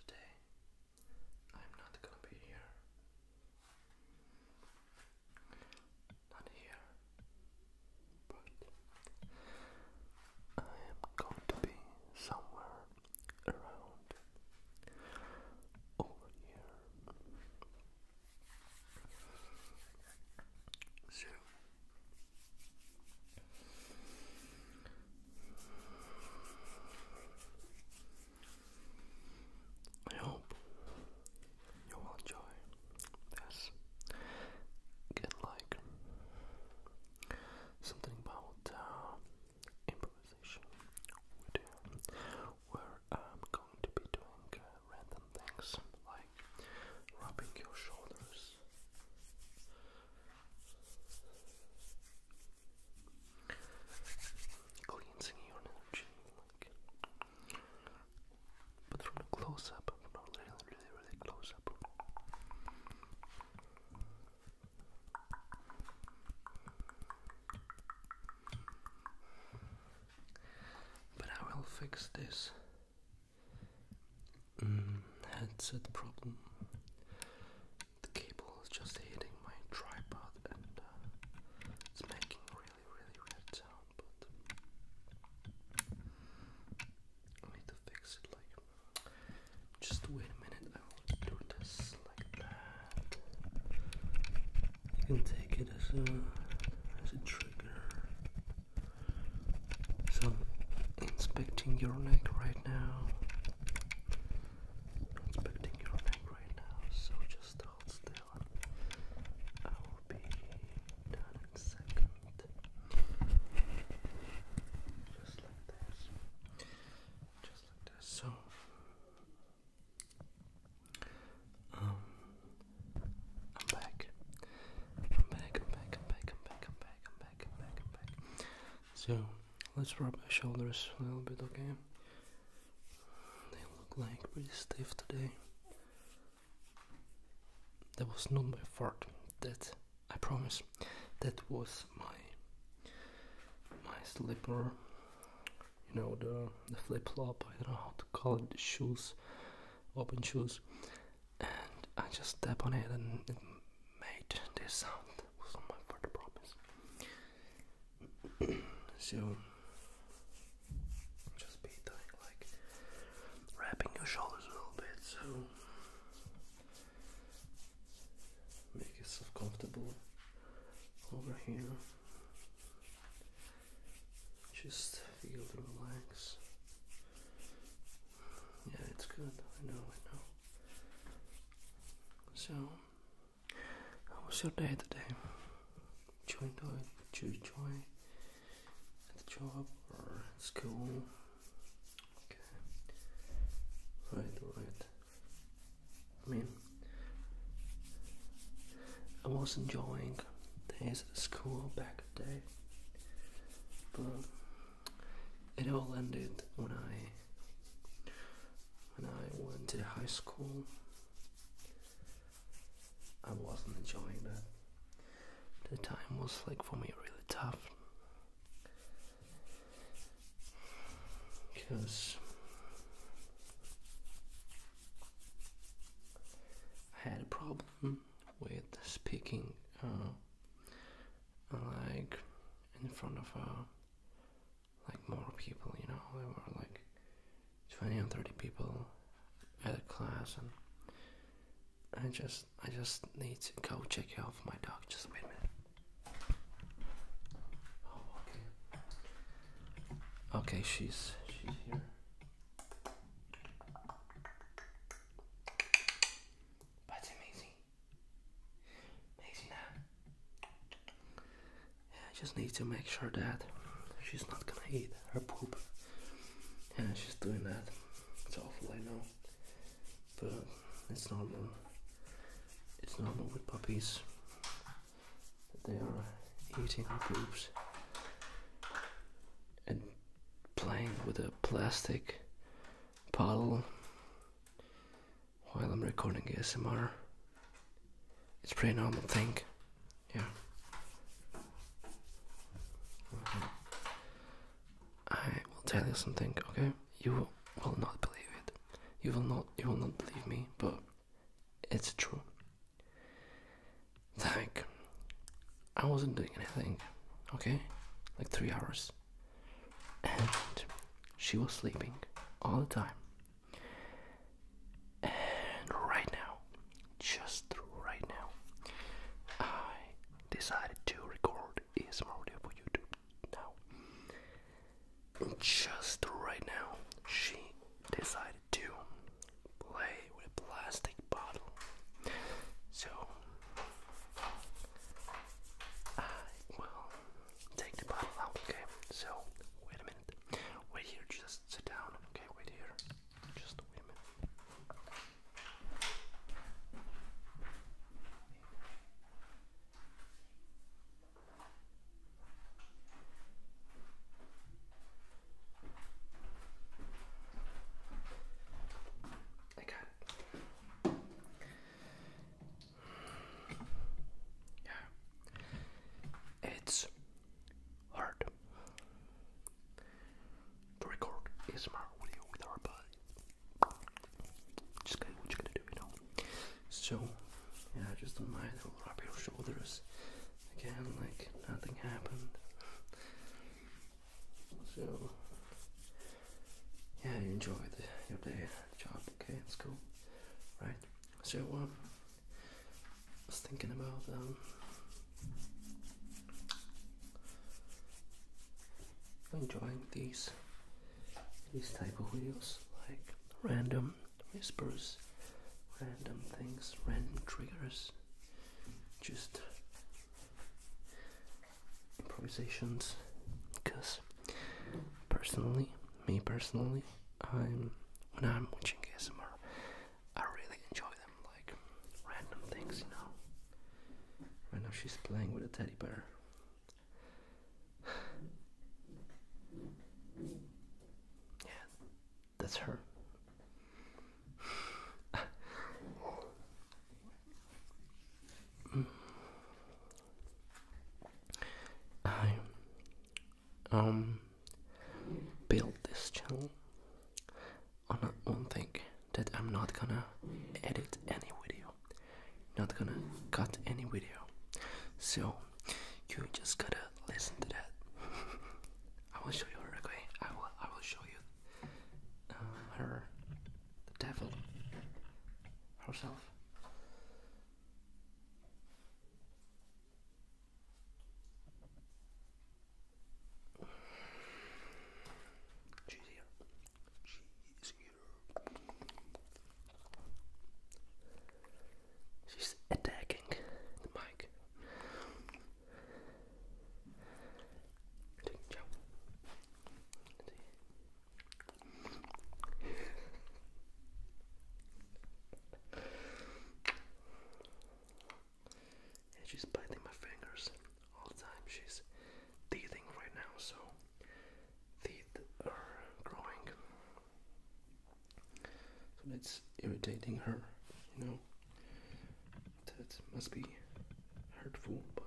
Today I'm not gonna be here. Not here. But I am going to be somewhere around over here. So I hope you will enjoy this. Get like something about uh, improvisation where I'm going to be doing uh, random things like rubbing your shoulders. Cleansing your energy, but from a close up, not really, really, really close up. But I will fix this mm, headset problem the cable is just hitting my tripod and uh, it's making really, really weird sound, but I need to fix it like just wait a minute, I will do this like that. You can take it as a as a trigger. So inspecting your neck right now. I'm your neck right now, so just hold still. I will be done in a second. Just like this. Just like this. So, um, I'm back, I'm back, I'm back, I'm back, I'm back, I'm back, I'm back, I'm back. So, Let's rub my shoulders a little bit, okay? They look like pretty stiff today. That was not my fault. That I promise. That was my my slipper. You know the the flip flop. I don't know how to call it. The shoes, open shoes, and I just step on it, and made this sound was on my part, promise. so, just be doing like wrapping your shoulders a little bit, so make yourself comfortable over here. Just feel the relax. Yeah, it's good. I know, I know. So. How was your day today? Did you enjoy it? Did you enjoy at the job or at school? Okay. Right, right. I mean, I was enjoying days at school back day, but it all ended when I when I went to high school. I wasn't enjoying that. The time was like for me really tough because I had a problem with speaking uh, like in front of a like more people, you know, there were like 20 or 30 people at a class and I just I just need to go check out for my dog just wait a minute. Oh, okay. Okay, she's she's here. That's amazing. I just need to make sure that she's not gonna eat her poop. Yeah, she's doing that. It's awful, I know. But it's normal. It's normal with puppies. They are eating her poops and playing with a plastic bottle while I'm recording ASMR. It's pretty normal thing. Yeah. I will tell you something, okay? You will not believe it. You will not you will not believe me, but it's true. Like I wasn't doing anything, okay? Like three hours and she was sleeping all the time. And right now, just right now, I decided to record ASMR video for YouTube now. Just right now, she decided to play with plastic bottle. So I will take the bottle out, okay? So, wait a minute. Wait here, just sit down, okay? Wait here. Just wait a minute. I got yeah. It's hard to record ASMR audio with our body. Just gonna do, you So, yeah, just don't mind, will rub your shoulders again like nothing happened. So, yeah, you enjoyed your day job, okay? It's cool, right? So um, I was thinking about um, enjoying these these type of videos, like random whispers, random things, random triggers, just improvisations. Because personally, me personally, I'm when I'm watching ASMR, I really enjoy them, like random things, you know. Right now she's playing with a teddy bear. yeah, that's her. I um built this channel on one thing that I'm not gonna edit any video, not gonna cut any video. So you just gotta listen to that. I will show you her okay. I will I will show you uh, her the devil herself. Cheese eater. Cheese eater. She's attacking the mic. Ciao and she's biting my fingers all the time. She's teething right now, so teeth are growing. So that's irritating her, you know. That must be hurtful, but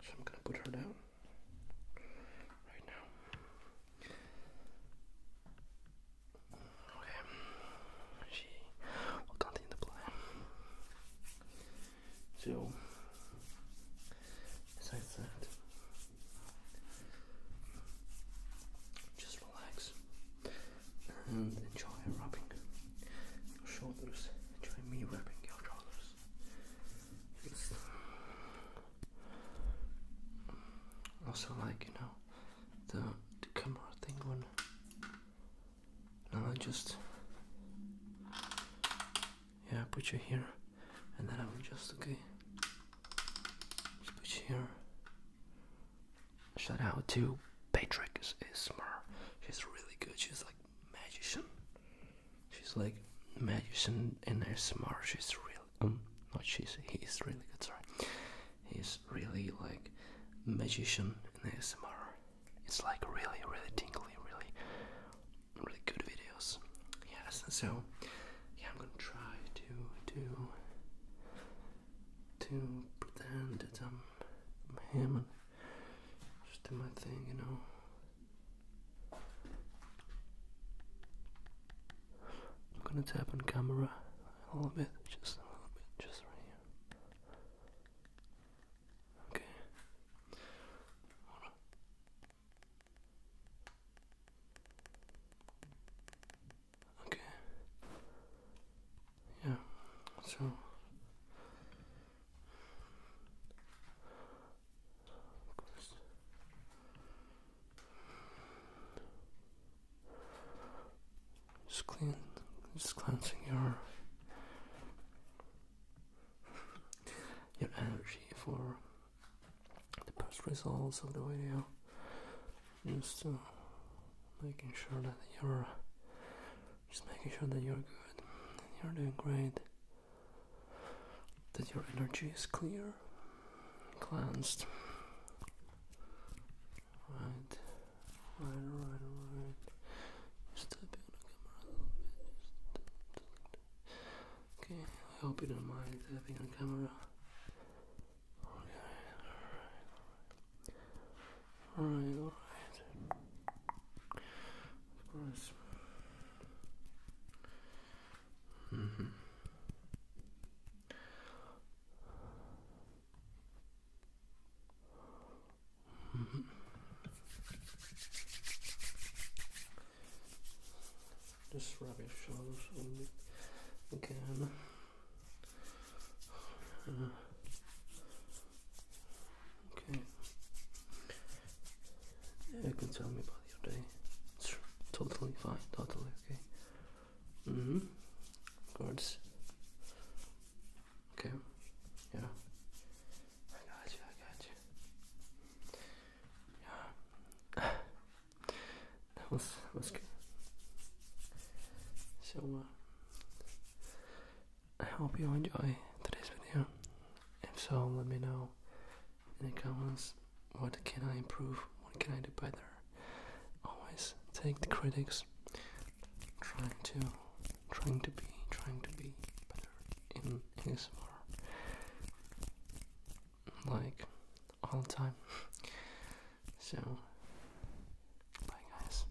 so I'm going to put her down right now. Okay, she will continue to play. So, as I said, just relax and enjoy rubbing your shoulders. Enjoy me rubbing your shoulders also like you know the camera thing one. now I just yeah put you here and then I will just okay just put you here. Shout out to Patrick Ismer. She's really good. She's like magician. She's like magician and ASMR. She's real. Um, she's. He really good. Sorry, he's really like magician and ASMR. It's like really, really tingly, really, really good videos. Yes. So yeah, I'm gonna try to do to pretend that I'm him and just do my thing, you know. I'm gonna tap on camera a little bit, just a little bit, just right here. Okay. Okay. Yeah. So just clean, just cleansing your your energy for the best results of the video. Just uh, making sure that you're just making sure that you're good, you're doing great that your energy is clear, cleansed. Right, right, right, right. Just on the camera a little bit. okay, I hope you don't mind tapping on camera. Okay, alright, alright. alright. Of course. Mm -hmm. Mm -hmm. This rubbish shows again. Okay. you can tell me about your day. It's totally fine, totally okay. Mm-hmm. Cards. Okay. Yeah. I got you, I got you. Yeah. that was that was good. So uh, I hope you enjoy today's video. If so, let me know in it comes what can I improve, what can I do better. Always take the critics, trying to, trying to be, trying to be better in ASMR. Like all the time. So, bye guys.